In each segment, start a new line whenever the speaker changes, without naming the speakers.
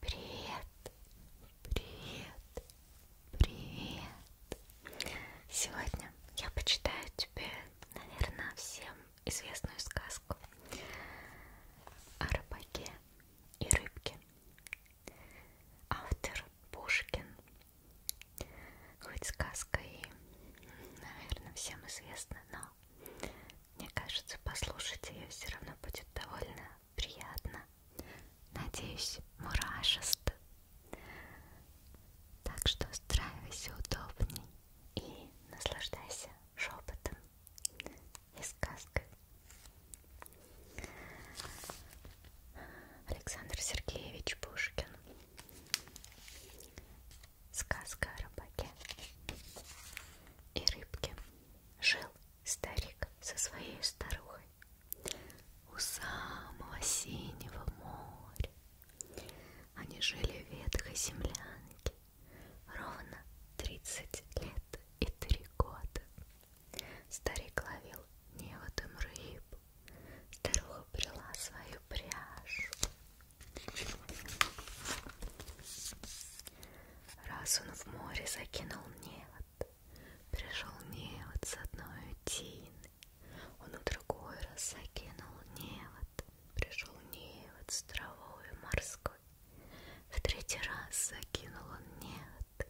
Привет, привет, привет. Сегодня я почитаю тебе, наверное, всем известную сказку о рыбаке и рыбке. Автор Пушкин. Хоть сказка и, наверное, всем известна, но мне кажется, послушать ее все равно будет довольно приятно. Надеюсь, мурашист. Так что устраивайся удобней и наслаждайся шепотом и сказкой. Александр Сергеевич Пушкин. Сказка о рыбаке и рыбке. Жил старик со своей старухой у самого синего моря. Они жили в ветхой землянке ровно 30 лет и 3 года. Старик ловил неводом рыбу, старуха брела свою пряжу. Раз он в море закинул невод, Пришел невод с одной утины, Он в другой раз закинул невод, Пришел невод с травой морской, В третий раз закинул он невод,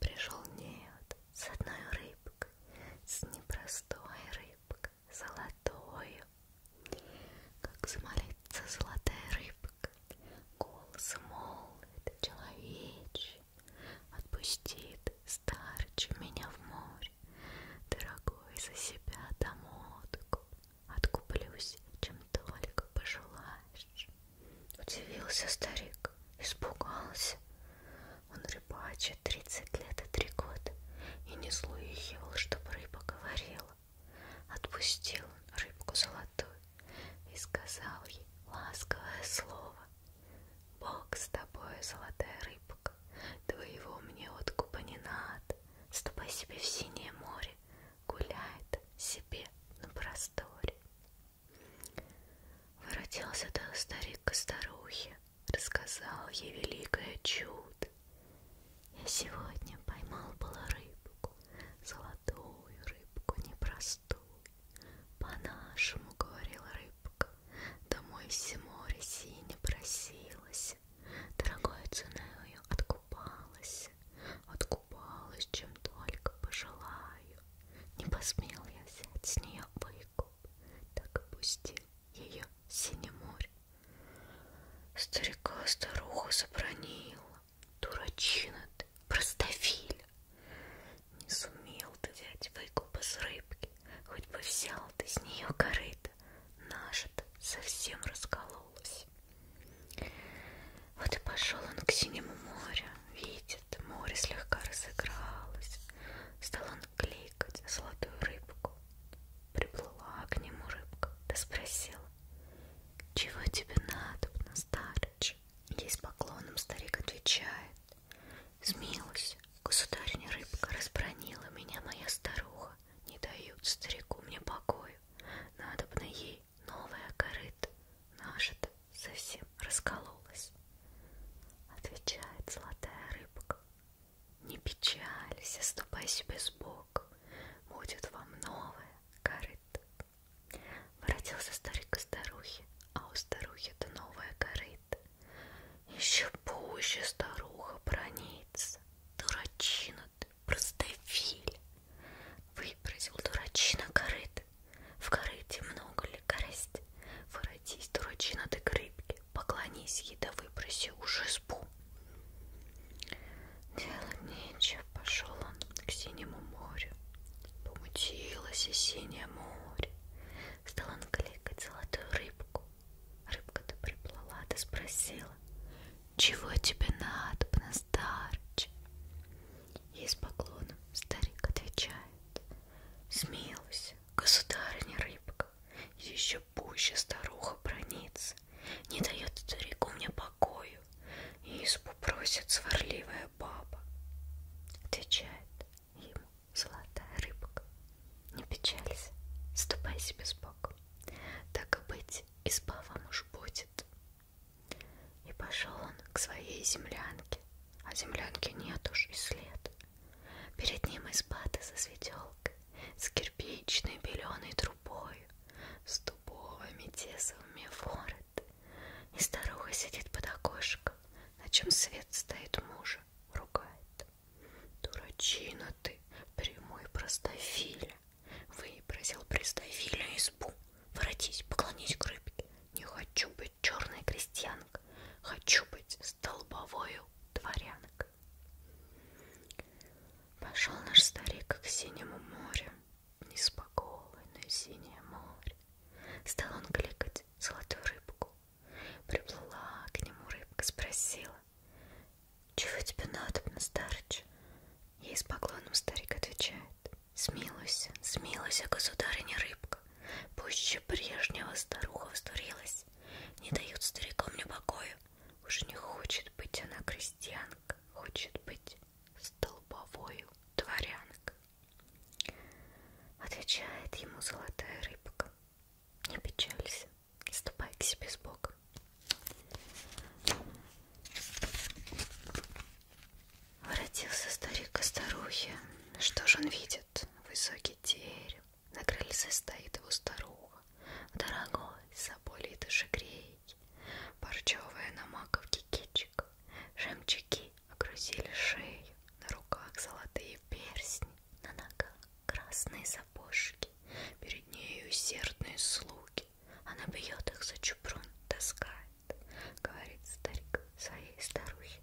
Пришел невод с одной рыбкой, С непростой рыбкой, золотой как смолится золотая рыбка, голос молвит человечий, Отпустит старче меня в море, Дорогой за себя домотку, Откуплюсь, чем только пожелаешь. Удивился старик, испугался. Он рыбачит тридцать лет и три года и не слыхивал, чтоб рыба говорила. Отпустил он рыбку золотую и сказал ей ласковое слово. Бог с тобой, золотая рыбка, твоего мне откупа не надо. Ступай себе в синее море, гуляет себе на просторе. Воротился до старик к старухе, рассказал ей великое чудо, я сегодня поймал была рыбку, золотую рыбку непростую. По-нашему, говорила рыбка, домой все море сине просилась, дорогой ценою откупалась, откупалась, чем только пожелаю. Не посмел я взять с нее выкуп, так опустил ее синее море Старика старуха забронила. Дурачина ты, простофиля. Не сумел ты взять выкупа с рыбки, хоть бы взял ты с нее корыто. Наша-то совсем раскололась. Вот и пошел он к синему морю. Видит, море слегка разыгралось. Стал он кликать золотую рыбку. Приплыла к нему рыбка, да спросила, «Чего тебе надобно, старыч?» Здесь поклоном старик отвечает, «Смилуйся, государня рыбка разбронила меня моя старуха, не дают старику мне покою, надобно ей новая корыта, наша-то совсем раскололась». Отвечает золотая рыбка, не печалься, ступай себе с Бог, будет вам новое корыто. Воротился старик к старухе, а у старухи-то новое корыто. Еще пуще старуха бронится. Дурачина ты, простофиль. Выбросил дурачина корыто. В корыте много ли корысть? Воротись, дурачина ты к рыбке, поклонись ей да выброси уже с пух. Делать нечего, пошел он к синему морю. Помутилось и синее море. Стал он кликать золотую рыбку. Рыбка-то приплыла, да спросила, чего тебе надо, старче? И с поклоном старик отвечает, смилуйся, государыня рыбка так. Еще пуще старуха бронится, не дает старику мне покою, и избу просит сварливая баба. Отвечает ему золотая рыбка. Не печалься, ступай себе с Богом. Так и быть, изба вам уж будет. И пошел он к своей землянке, а землянки нет уж и след. Перед ним изба-то за светелкой, с кирпичной беленой трубой, с дубовыми тесовыми ворот. И старуха сидит под окошком, на чем свет стоит мужа, ругает. Дурачина ты, прямой простофиля, выбросил простофиля избу. Воротись, поклонись к рыбке. Не хочу быть черной крестьянкой, хочу быть столбовою дворянкой. Пошел наш старик к синему морю, Неспокойное синее море. Стал он кликать золотую рыбку. Приплыла к нему рыбка, спросила, «Чего тебе надо, старыч?» Ей с поклоном старик отвечает, «Смилуйся, смилуйся, государыня рыбка, Пуще прежнего старуха вздурилась, Не дают старикам мне покоя, уже не хочет быть она крестьянка, хочет быть столбовою дворянкой. Отвечает ему золотая рыбка. Не печалься, ступай к себе с Богом. Воротился старик к старухе. Что же он видит? Высокий терем, на крыльце стоит его старуха. Дорогой, соболей душегрей. Парчевая на маковке кичик. Жемчуги окрузили шею. На руках золотые перстни. На ногах красные сапожки. Перед нею усердные слуги. Она бьет их за чупрун, таскает. Говорит старик своей старухе.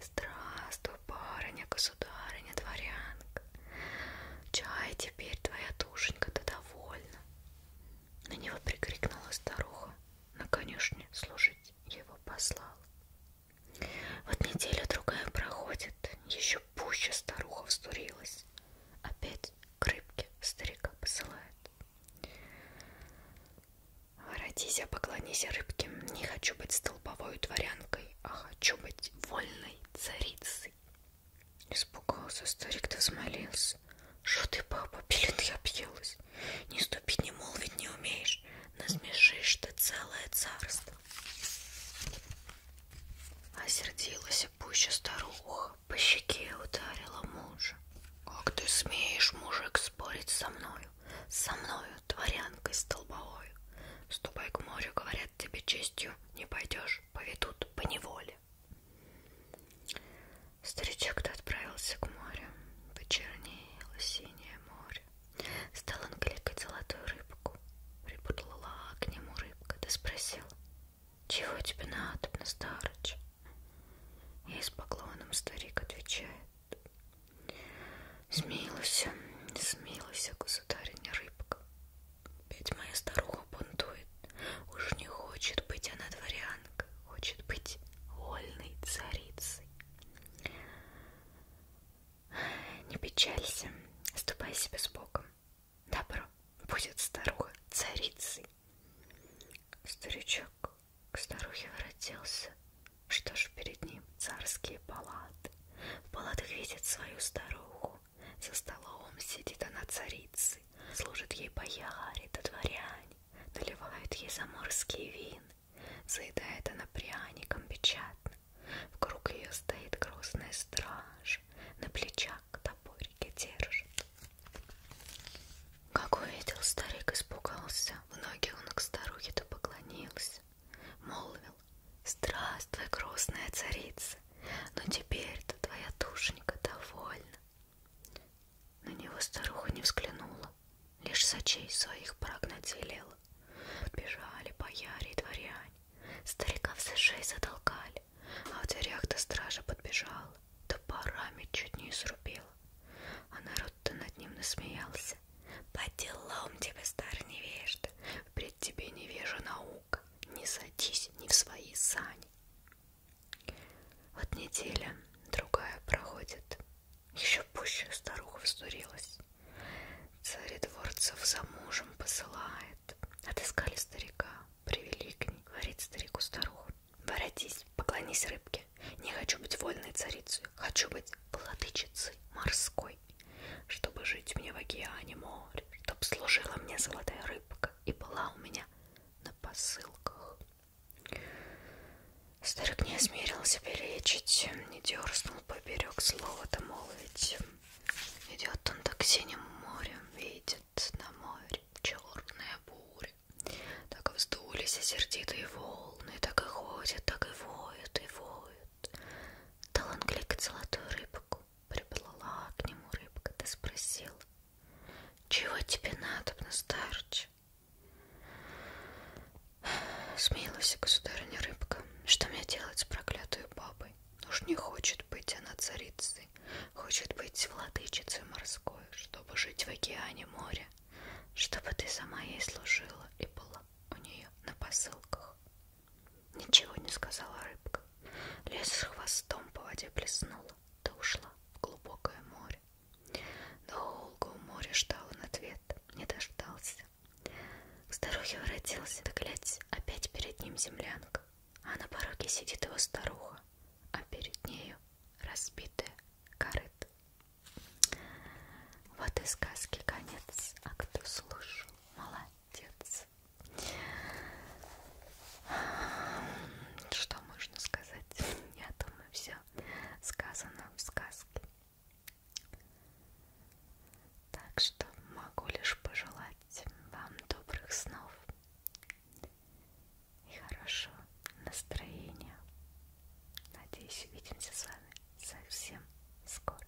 Здравствуй, барыня, государыня, дворянка. Чай, теперь твоя душенька, ты довольна. На него прикрикнула старуха, на конюшне служить его послал. Вот неделя другая проходит, еще пуще старуха вздурилась. Опять к рыбке старика посылает. Воротись, а поклонись рыбке, не хочу быть столбовой дворянкой а хочу быть вольной царицей. Испугался старик, да взмолился. Что ты, папа, пилит я объелась. Не ступить, не молвить не умеешь. Насмешишь ты целое царство. Осердилась пуще старуха, по щеке ударила мужа. Как ты смеешь, мужик, спорить со мною, со мною, дворянкой столбовой? Ступай к морю, говорят тебе честью, не пойдешь, поведут по неволе. Старичок-то отправился к морю, почернело синее море. Стал он кликать золотую рыбку, припутлала к нему рыбка, да спросил, чего тебе надо, на старыч? И с поклоном старик отвечает, Смилуйся, смилуйся, государиня рыбка. Ведь моя старуха бунтует, уж не хочет быть она дворянкой, хочет быть вольной царицей. Не печалься, ступай себе с Богом. Добро будет старуха царицей. Старичок к старухе воротился. Что ж перед ним царские палаты? Полад видит свою старуху. За столом сидит она царицы. Служит ей боярит и дворянь. Наливают ей заморские вин. Заедает она пряником печатно. Вокруг ее стоит грозная страж. На плечах топорики держит. Как увидел, старик испугался. В ноги он к старухе-то поклонился молвил «Здравствуй, грустная царица, но теперь-то твоя душенька довольна». На него старуха не взглянула, лишь сочей своих прогнать велела. Бежали бояре и дворяне, стариков за шеи затолкали, а в дверях-то стража подбежала, да парами чуть не изрубила. А народ-то над ним насмеялся, по делам тебе, старый невежда, пред тебе невежа наука, не садись ни в свои сани. Вот неделя, другая проходит, еще пуще старуха вздурилась. Царь дворцев за мужем посылает, отыскали старика, привели к ней, говорит старику старуху. Воротись, поклонись рыбке, не хочу быть вольной царицей, хочу быть владычицей морской рекой, чтобы жить мне в океане море, чтоб служила мне золотая рыбка и была у меня на посылках. Старик не осмелился перечить, не дерзнул поберег слова-то молвить. Идет он так синим морем, видит на море черная буря. Так вздулись и сердитые волны, так и ходят, так и воют, и воют. Дал он кликать золотую рыбку. Приплыла к нему рыбка, да спросила. Чего тебе надо, старче? Смеялась государыня рыбка. Что мне делать с проклятой бабой? Ну уж не хочет быть она царицей, хочет быть владычицей морской, чтобы жить в океане моря, чтобы ты сама ей служила и была у нее на посылках запах. Ничего не сказала рыбка. Лес с хвостом по воде плеснула, да ушла в глубокое море. Долго у моря ждал он ответ, не дождался. К старухе воротился, да глядь, опять перед ним землянка. А на пороге сидит его старуха, а перед нею разбитая корыта. Вот и сказки конец, а кто слушал, молодец. Что можно сказать? Я думаю, все сказано в сказке. Так что могу лишь пожелать вам добрых снов и хорошего настроения. Надеюсь, увидимся с вами совсем скоро.